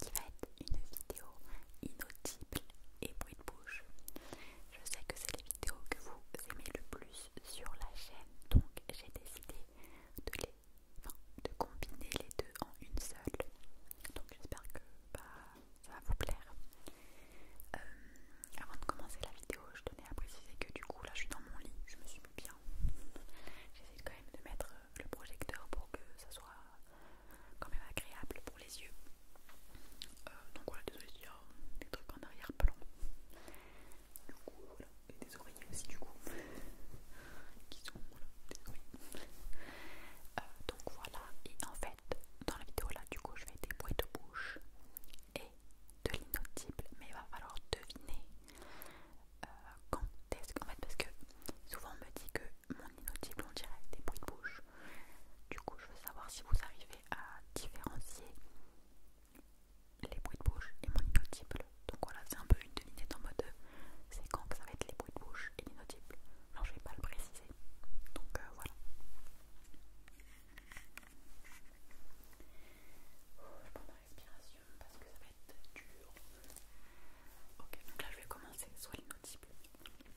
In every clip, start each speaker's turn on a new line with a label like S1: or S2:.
S1: qui va être une vidéo inaudible et bruit de bouche. Je sais que c'est les vidéos que vous aimez le plus sur la chaîne, donc j'ai décidé de, les, de combiner les deux en une seule. Donc j'espère que bah, ça va vous plaire. Euh, avant de commencer la vidéo, je tenais à préciser que du coup là je suis dans mon lit, je me suis mis bien. J'essaie quand même de mettre le projecteur pour que ça soit quand même agréable pour les yeux. Euh, donc voilà, désolé, il y des trucs en arrière-plan. Du coup, et des oreillers aussi, du coup, qui sont des oreillers. Euh, donc voilà, et en fait, dans la vidéo là, du coup, je vais des bruits de bouche et de l'inaudible, mais il va falloir deviner euh, quand est-ce qu'en fait, parce que souvent on me dit que mon inaudible, on dirait des bruits de bouche. Du coup, je veux savoir si vous arrivez à différencier les bruits de bouche et mon inaudible. Donc voilà, c'est un peu une devinette en mode euh, c'est quand que ça va être les bruits de bouche et l'inaudible. Non je vais pas le préciser. Donc euh, voilà. Oh, je prends ma respiration parce que ça va être dur. Ok, donc là je vais commencer soit l'inaudible.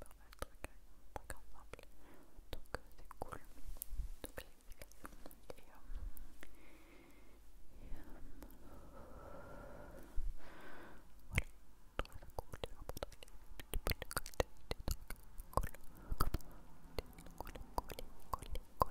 S1: pas Donc c'est cool. Donc cool de cool, cool, cool,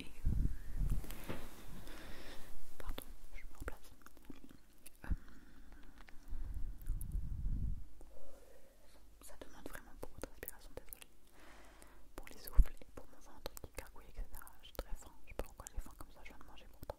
S1: Euh, pardon, je me remplace. Euh, ça demande vraiment beaucoup de respiration, désolée. Pour les souffles et pour mon ventre qui gargouille, etc. J'ai très faim, je sais pas pourquoi j'ai faim comme ça, je viens de manger pourtant. toi.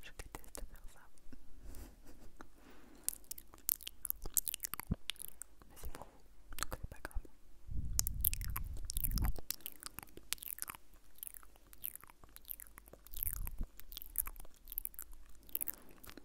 S2: Je déteste faire ça. Mais c'est pour vous, donc c'est pas grave.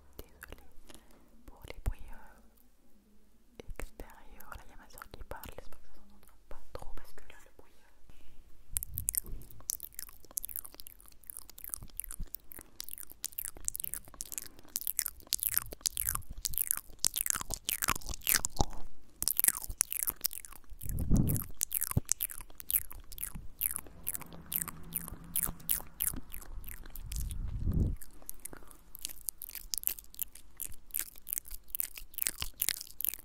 S2: Désolé pour les bruits euh, extérieurs. Là, il y a ma soeur qui parle. J'espère que ça sent pas trop parce que là le bruit. Euh,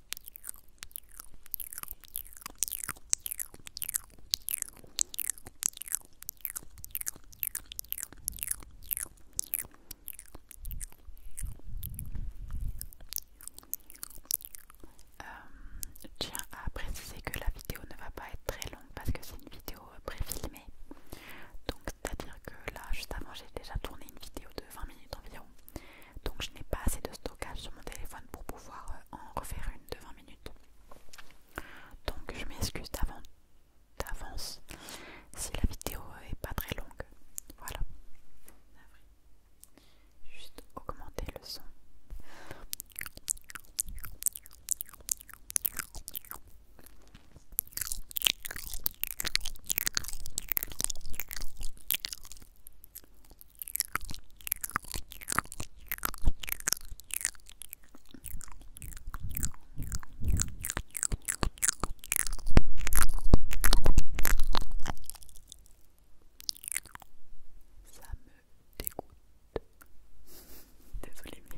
S2: Je euh, tiens à préciser que la vidéo ne va pas être très longue parce que c'est une vidéo euh, préfilmée. Donc c'est à dire que là juste avant j'ai déjà tourné une vidéo de 20 minutes environ donc je n'ai pas assez de stockage sur mon téléphone pour pouvoir euh, en refaire une de 20 minutes. Donc je m'excuse d'avance
S3: si la vidéo est pas très longue. Voilà. Juste augmenter le son. Ça me dégoûte. Désolée, mais...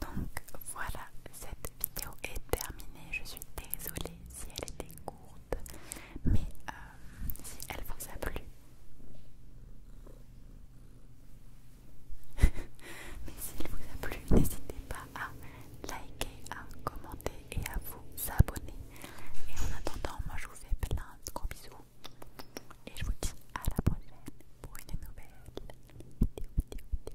S3: Donc voilà, cette vidéo est terminée. Je suis désolée si elle était courte, mais euh, si elle vous a plu. Mais elle vous a plu, n'hésitez pas à liker, à commenter et à vous abonner. Et en attendant, moi je vous fais plein de gros bisous. Et je vous dis à la prochaine pour une nouvelle vidéo.